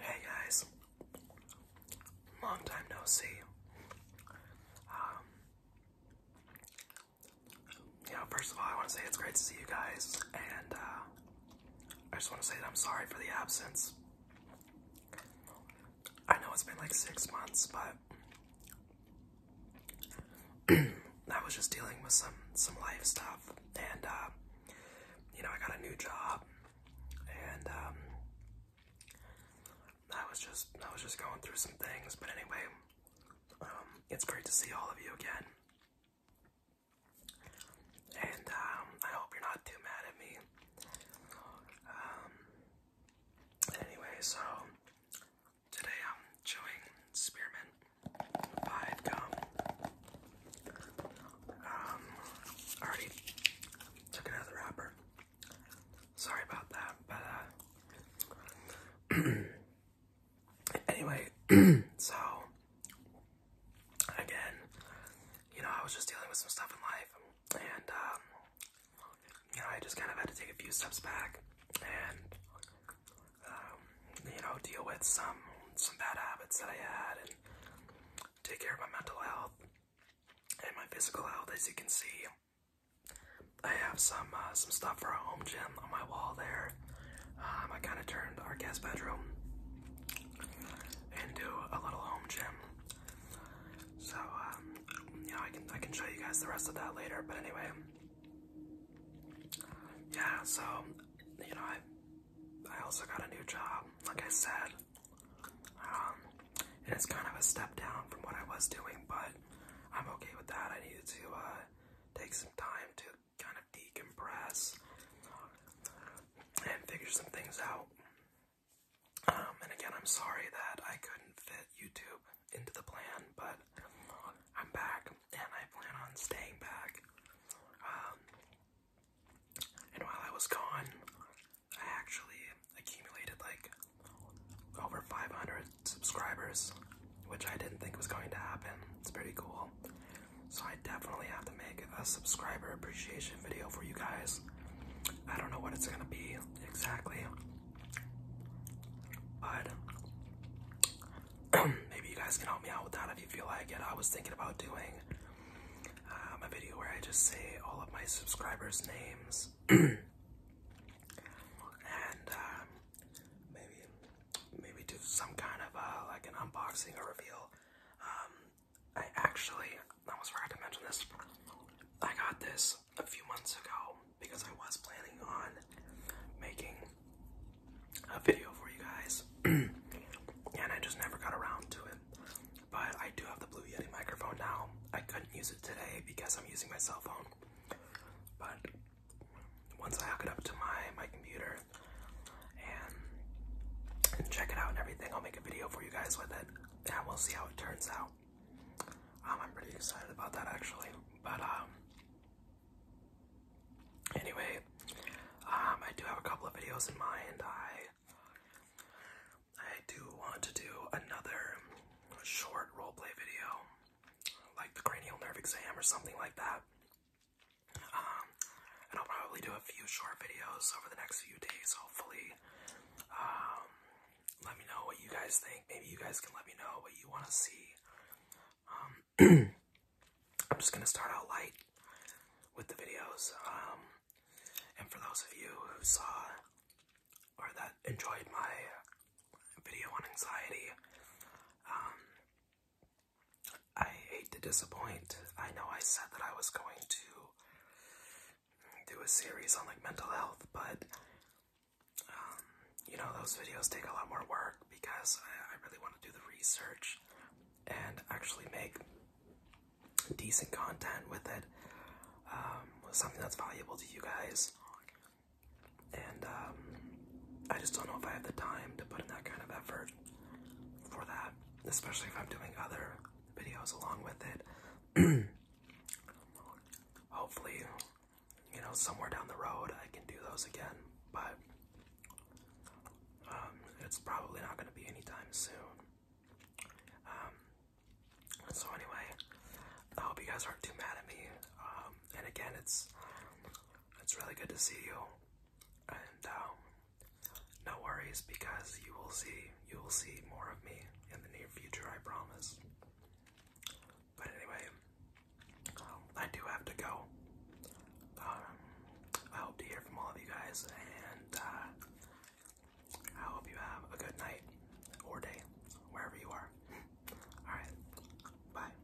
Hey guys, long time no see. Um, you know, first of all, I want to say it's great to see you guys, and uh, I just want to say that I'm sorry for the absence. I know it's been like six months, but I was just dealing with some some life stuff, and uh, you know, I got a new job, and um, I was just I was just going through some things. But anyway, um, it's great to see all of you again, and um, I hope you're not too mad at me. Um, anyway, so Today I'm chewing spearmint pie gum. Um, already took it out of the wrapper. Sorry about that, but uh, anyway, so again, you know, I was just dealing with some stuff in life, and um, you know, I just kind of had to take a few steps back and, um, you know, deal with some some bad habits that I had and take care of my mental health and my physical health. As you can see, I have some uh, some stuff for a home gym on my wall there. Um, I kind of turned our guest bedroom into a little home gym. So um, I can I can show you guys the rest of that later. But anyway, yeah. So you know, I I also got a new job. Like I said, um, it is kind of a step down from what I was doing, but I'm okay with that. I needed to uh, take some time to kind of decompress uh, and figure some things out. Um, and again, I'm sorry that I couldn't fit YouTube into the plan, but I'm back and I plan on staying back. Um, and while I was gone, I actually accumulated like over 500 subscribers, which I didn't think was going to happen. It's pretty cool. So I definitely have to make a subscriber appreciation video for you guys. I don't know what it's gonna be exactly, but maybe you guys can help me out with that if you feel like it. I was thinking about doing um, a video where I just say all of my subscribers' names, and um, maybe maybe do some kind of uh, like an unboxing or reveal. Um, I actually almost forgot to mention this. I got this a few months ago because I was planning on making a video for you guys, and I just never got around to it. But I do have the Blue Yeti microphone now. I couldn't use it today because I'm using my cell phone. But once I hook it up to my my computer and check it out and everything, I'll make a video for you guys with it yeah, we'll see how it turns out. Um, I'm pretty excited about that actually, but um, anyway, um, I do have a couple of videos in mind. I I do want to do another short roleplay video, like the cranial nerve exam or something like that. Um, and I'll probably do a few short videos over the next few days, hopefully. Um, let me know what you guys think. Maybe you guys can let me know what you want to see. Um, I'm just going to start out light with the videos. and for those of you who saw or that enjoyed my video on anxiety, I hate to disappoint. I know I said that I was going to do a series on like mental health, but um, you know, those videos take a lot more work because I, really want to do the research and actually make decent content with it. Um, something that's valuable to you guys. And um, I just don't know if I have the time to put in that kind of effort for that, especially if I'm doing other videos along with it. Hopefully, you know, somewhere down the road I can do those again, but um, it's probably not going to be anytime soon. Um, so anyway, I hope you guys aren't too mad at me. Um, and again, it's it's really good to see you and um, no worries because you will see you will see more of me in the near future, I promise. But anyway, um, I do have to go. Um, I hope to hear from all of you guys, and uh, I hope you have a good night or day, wherever you are. Alright, bye.